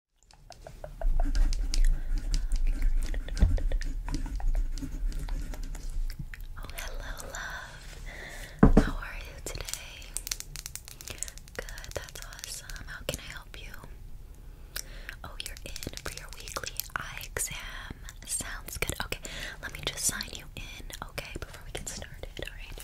Oh, hello, love. How are you today? Good, that's awesome. How can I help you? Oh, you're in for your weekly eye exam. Sounds good. Okay, let me just sign you in, okay, before we get started. Alright.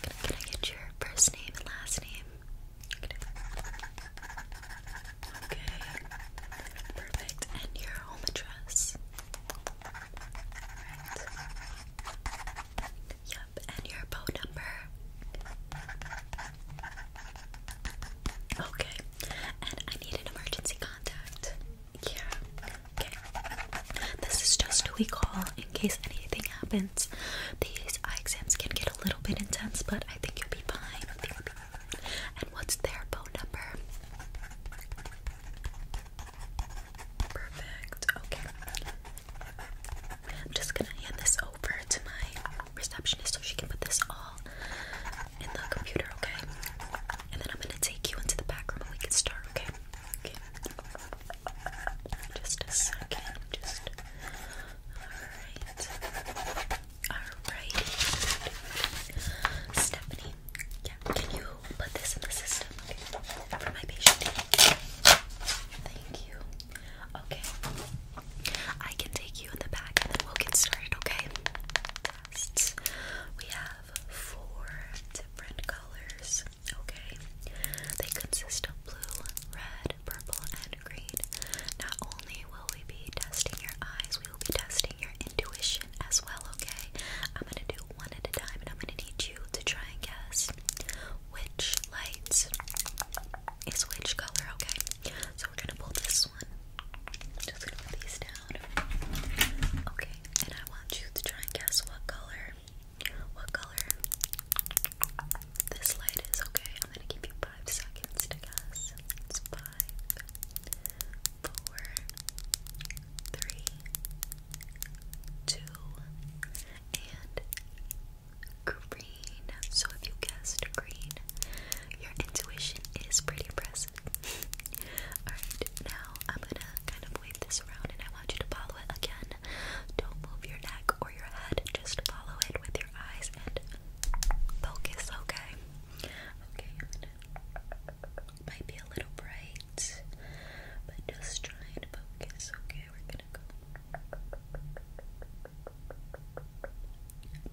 Can I get your first name and last name? Okay, perfect. And your home address. Right. and your phone number. Okay, and I need an emergency contact. Yeah, okay. This is just who we call in case anything happens. These eye exams can get a little little bit intense, but I think you'll be fine. And what's their phone number? Perfect. Okay. I'm just gonna hand this over to my receptionist so she can put this all in the computer, okay? And then I'm gonna take you into the back room and we can start, okay? Okay. Just a Just Alright. Alrighty. Stephanie, yeah, can you put this in the system okay, for my patient? Thank you. Okay. I can take you in the back and then we'll get started, okay? Tests. We have four different colors, okay? They consist of blue, red, purple, and not only will we be testing your eyes, we will be testing your intuition as well, okay? I'm gonna do one at a time and I'm gonna need you to try and guess which light is which color, okay? So we're gonna pull this one. Just gonna put these down. Okay, and I want you to try and guess what color. What color this light is okay. I'm gonna give you five seconds to guess. five, four, three, two, and green. So if you guessed green, your intuition is pretty impressive. Alright, now I'm gonna kind of wave this around and I want you to follow it again. Don't move your neck or your head, just follow it with eyes and focus, okay? Okay, Might be a little bright, but just try and focus, okay? We're gonna go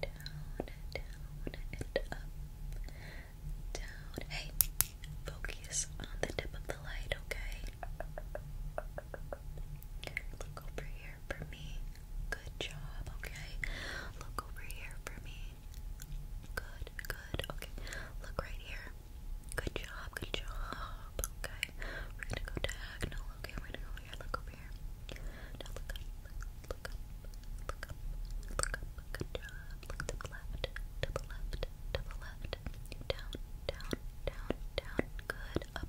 down, down, and up. Down. Hey, focus on the tip of the light, okay? look. over here for me. Good job, okay? Look over here for me. Good, good, okay. Look right here. Good job, good job, okay. We're gonna go diagonal, okay? We're gonna go here, look over here. Now look up, look up, look up, look up, good job. Look to the left, to the left, to the left. Down, down, down, down, good. Up,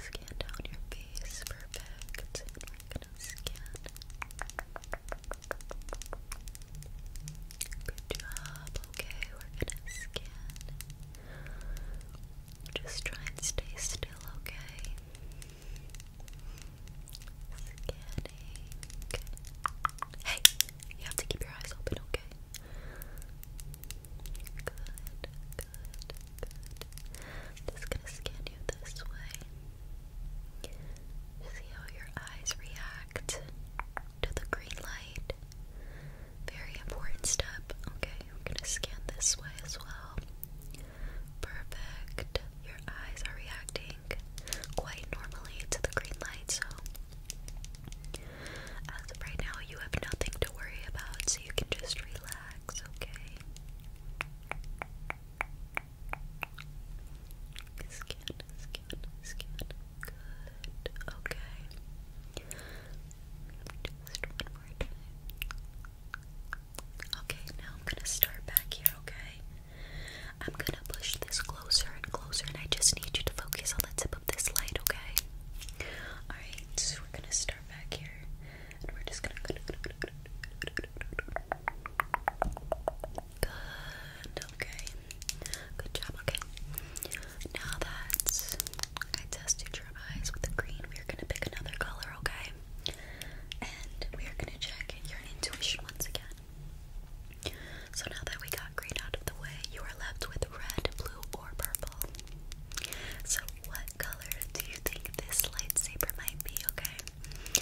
Scan down your face, perfect. we're gonna scan. Good job. Okay, we're gonna scan. Just try and stay still, okay? Hey, you have to keep your eyes open, okay? Good, good, good. I'm just gonna scan you this way. See how your eyes react to the green light. Very important step. Okay, gonna scan this way as well. Perfect. Your eyes are reacting quite normally to the green light, so as of right now, you have nothing to worry about, so you can just relax, okay? Scan, scan, scan. Good. Okay. Just one more time. Okay, now I'm gonna start back here, okay? I'm gonna push this closer and closer, and I just need you to focus on the tip of this light, okay? Alright, so we're gonna start back here, and we're just gonna. Good, okay. Good job, okay. Now that I tested your eyes with the green, we are gonna pick another color, okay? And we are gonna check your intuition once again. So now that we got green out of the way, you are left with red, blue, or purple. So what color do you think this lightsaber might be, okay?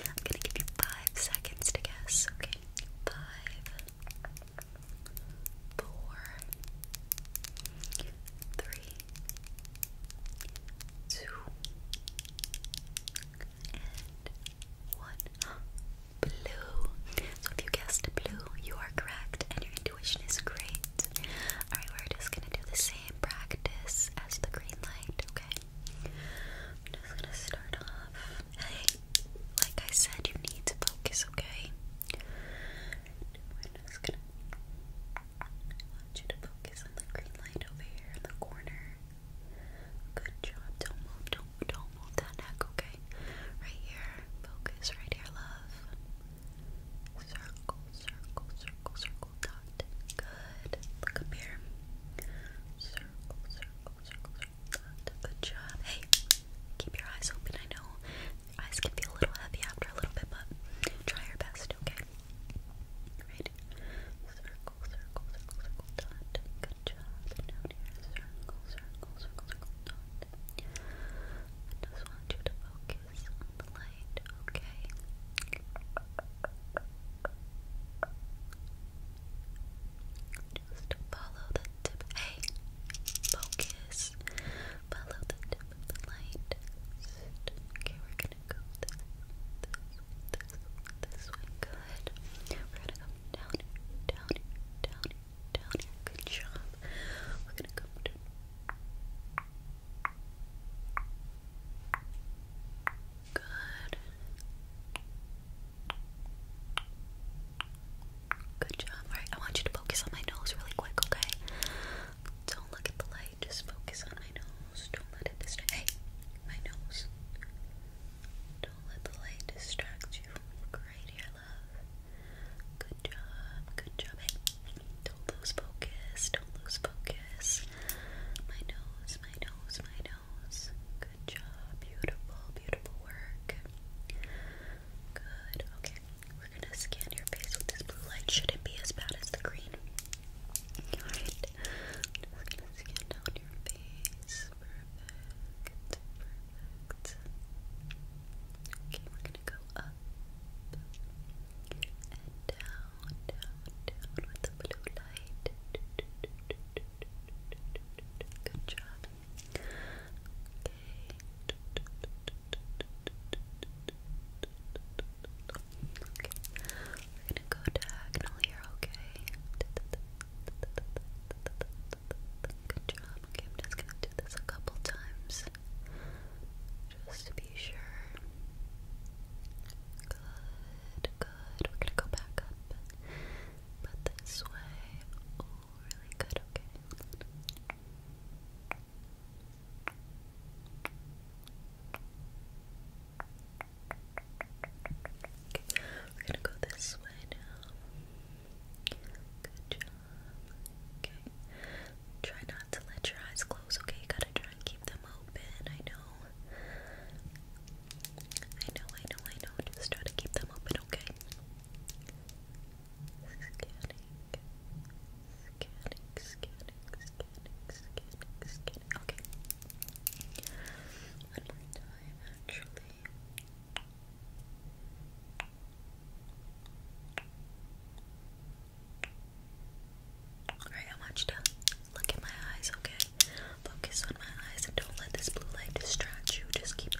I'm gonna give you five seconds to guess, okay? Five, four, three, two, and one blue. So if you guessed blue, you are correct and your intuition is great. Alright, we're just gonna do the same practice as the green light, okay? just gonna start off. Hey, like I said, you need to focus, okay? We're just gonna want you to focus on the green light over here in the corner. Good job. Don't move. Don't don't move that neck. Okay. Right here. Focus. Right here, love. Circle. Circle. Circle. Circle. Dot. Good. Look up here. Circle. Circle. Circle. Circle. Dot. Good job. Hey. Keep your eyes open. I know your eyes can feel a little heavy after a little bit, but try your best. Okay. Right circle, Good job. And down here, circle, circle, circle, dot. I just want you to focus on the light, okay? Just follow the tip. Hey, focus. Follow the tip of the light. Okay, we're gonna go this, this way, good. We're gonna come down here, down here, down here, down here. Good job. We're gonna come Good. Good job. Alright, I want you to focus on my nose really quick, okay? Don't look at the light, just focus on my nose. Don't let it distract. Hey, my nose. Don't let the light distract you from looking love. Good job, good job. don't lose focus, don't lose focus. My nose, my nose, my nose. Good job, beautiful, beautiful work. Good, okay. We're gonna scan your face with this blue light. Shouldn't be as bad as the green. Alright, we're gonna scan your face. Perfect. Perfect. Okay, we're gonna go up and down, down, down with the blue light. Good job. Okay. Okay. We're gonna go diagonal here, okay? Good job. Okay, I'm just gonna do this a couple times just to be sure. Good, good. We're gonna go back up, but this way. Oh, really good. Okay. Okay, we're gonna go this way now. Good job. Okay. Try not to let your eyes close, okay? gotta try and keep them open. I know. I know, I know, I know. Just try to keep them open, okay? Scanning. Scanning, scanning, scanning, scanning, scanning. Okay. One more time, actually. Alright, I want you look at my eyes, okay? Focus on my eyes and don't let this blue light distract you. Just keep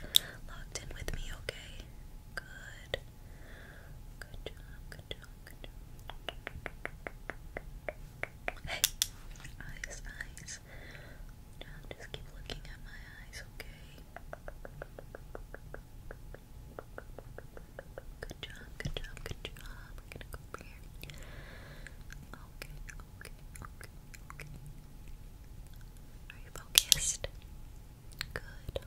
locked in with me, okay? Good. Good job, good job, good job. Hey, eyes, eyes, just keep looking at my eyes, okay? Good job, good job, good job. Okay, okay, okay, okay. Are you focused? Good,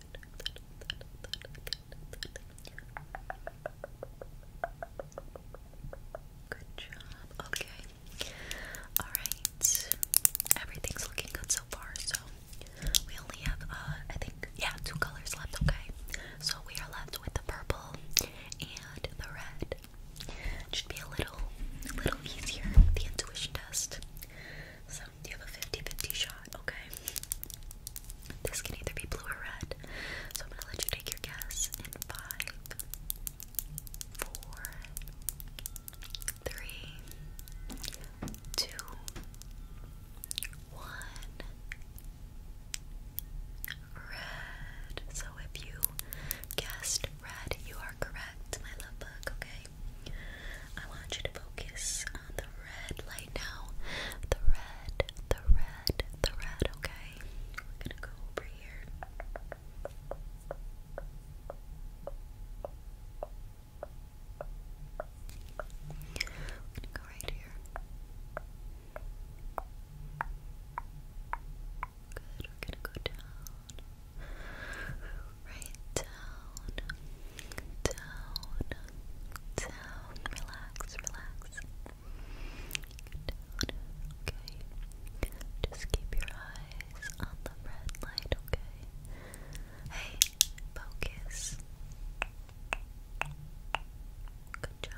Good job. Okay. Alright. Everything's looking good so far. So we only have, uh, I think, yeah, two colors left. Okay. So we are left with the purple and the red. should be a little, a little easier. The intuition test. So you have a 50-50 shot, okay? This can either be blue or red. So I'm gonna let you take your guess in five, four, three, two, one. Red. So if you guessed red, you are correct, my love bug, okay? I want you to focus on the red light now. The red, the red, the red, okay? We're gonna go over here. We're gonna go right here. Good, we're gonna go down. Right down down, down, relax, relax. okay. Just keep your eyes on the red light, okay? Hey, focus. Good job.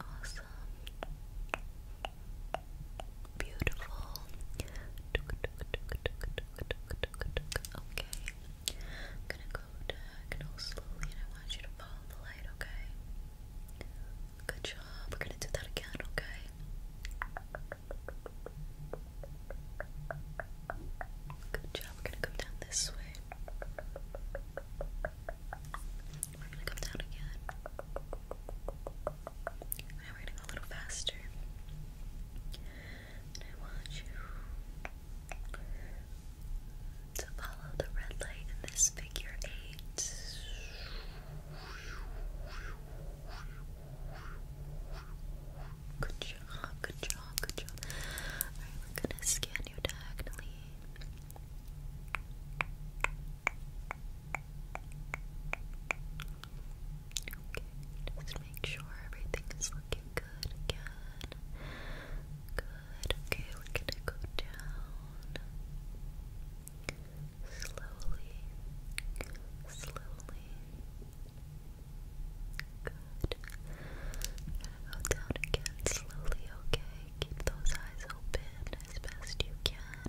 Awesome. Beautiful. Okay. I'm gonna go diagonal slowly and I want you to follow the light, okay? Good job. We're gonna do that again, okay? Good job. We're gonna come down this way. We're gonna come down again. Now we're gonna go a little faster. I want you to follow the red light in this figure eight. Good job, good job, good job. Alright, we gonna scan you diagonally just make sure everything is looking good again. Good, okay, we're gonna go down slowly, slowly. Good. go down again slowly, okay? Keep those eyes open as best you can.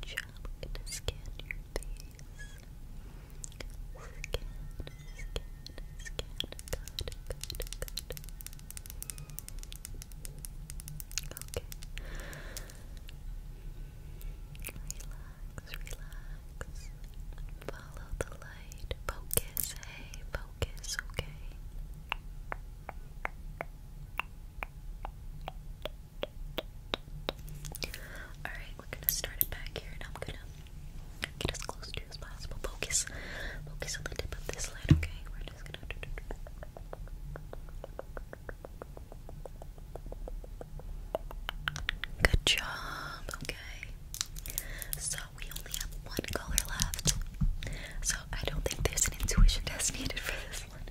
Good job. I'm going to scan your face. Scan, scan, scan. Good, good, good. Okay. Relax, relax. Follow the light. Focus, hey, focus, okay. Alright, we're gonna start it back here and I'm gonna get as close to as possible. Focus. Focus on the tip of this light, okay? We're just gonna Good job, okay. So we only have one color left. So I don't think there's an intuition test needed for this one.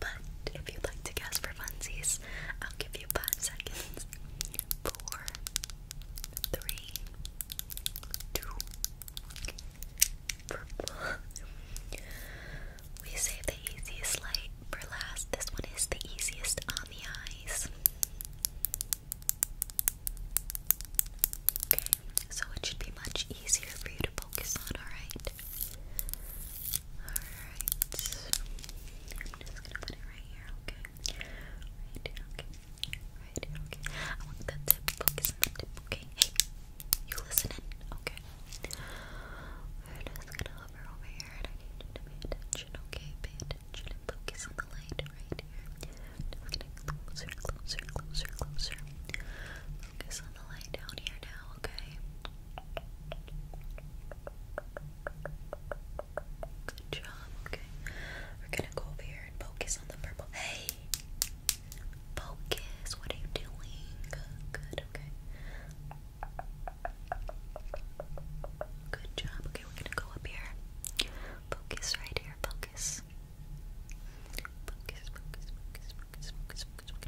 But if you'd like to guess for funsies, I'll give you five seconds. Four, three, two, purple. We save the easiest light for last. This one is the easiest on the eyes. Okay, so it should be much easier for you to focus on, alright? Alright. I'm just gonna put it right here, okay? Right here, okay? Right here, okay? I want that tip, focus on the tip, okay? Hey, you listening? Okay. We're just gonna hover over here I need to pay attention, okay? Pay attention and focus on the light right here. Just getting closer, closer, closer, closer. Focus on the light down here now, okay? Good job, okay? We're gonna go over here and focus on the purple. Hey! Focus, what are you doing? Good, okay. Good job. Okay, we're gonna go up here. Focus right here. Focus. Focus, focus, focus, focus, focus, Good job.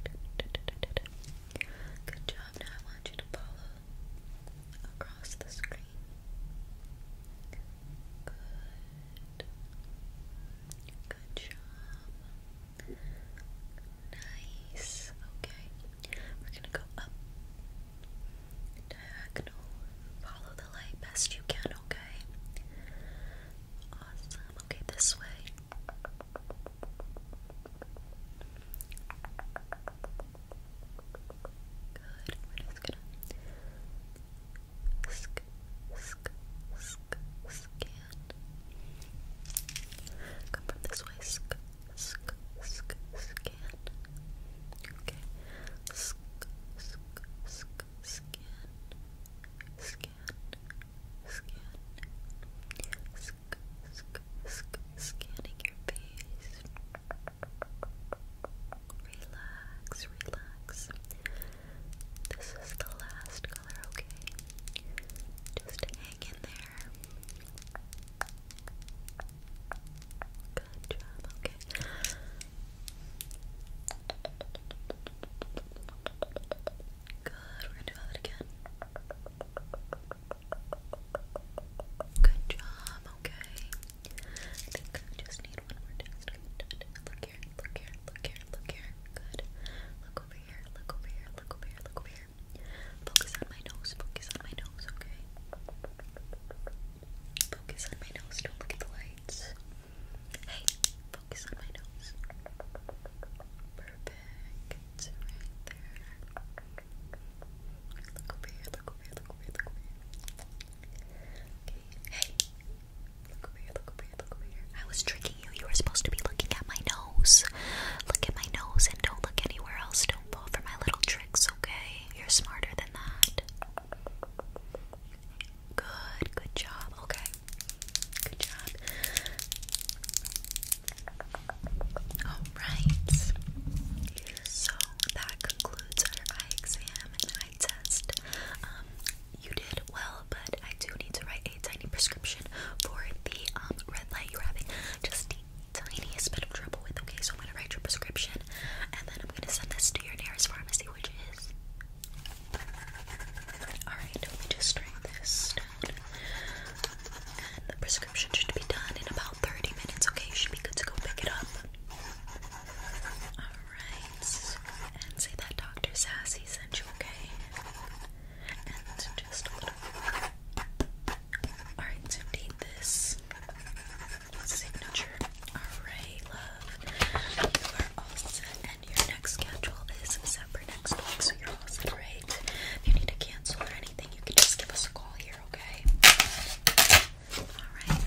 Now I want you to follow across the screen. Good. Good job. Nice. Okay. We're going to go up. Diagonal. Follow the light best you can, okay? Awesome. Okay, this way. Good. We're just gonna sk sk sk scan. Come from this way. Sk sk sk scan. Okay. Sk sk sk scan. Scan. Scan scanning your face. Relax, relax. This is the last color, okay? Just hang in there. Good job, okay. Good, we're gonna do that again. Good job, okay. I think I just need one more Look here, look here, look here, look here. Good. Look over here, look over here, look over here, look over here. Focus on my nose, focus on my nose, okay? Focus on my nose, don't look at the lights. Hey, focus on my nose. Look over here, look over here, look over here, Look over here, look over here, look over here. I was tricking you. You were supposed to be looking at my nose. Look at my nose and don't look anywhere else. Don't fall for my little tricks, okay? You're smarter than that. Good, good job. Okay, good job. Alright, so that concludes our eye exam and eye test. Um, you did well, but I do need to write a tiny prescription for the um, red light you're having just the tiniest bit of trouble with. Okay, so I'm gonna write your prescription and then I'm gonna send this to your nearest pharmacy, which is. Alright, let me just try this. And the prescription should be done in about 30 minutes, okay? should be good to go pick it up. Alright. And say that Dr. Sassy sent you, okay? And just Alright, so this signature. Alright, love. You are all set, and your next schedule is set next week, so you're all set, right? If you need to cancel or anything, you can just give us a call here, okay? Alright.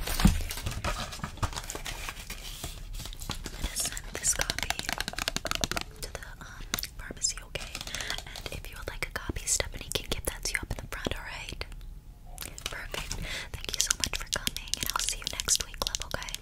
I'm gonna send this copy to the um, pharmacy, okay? And if you would like a copy, Stephanie can give that to you up in the front, alright? Perfect. Thank you so much for coming, and I'll see you next week, love, okay?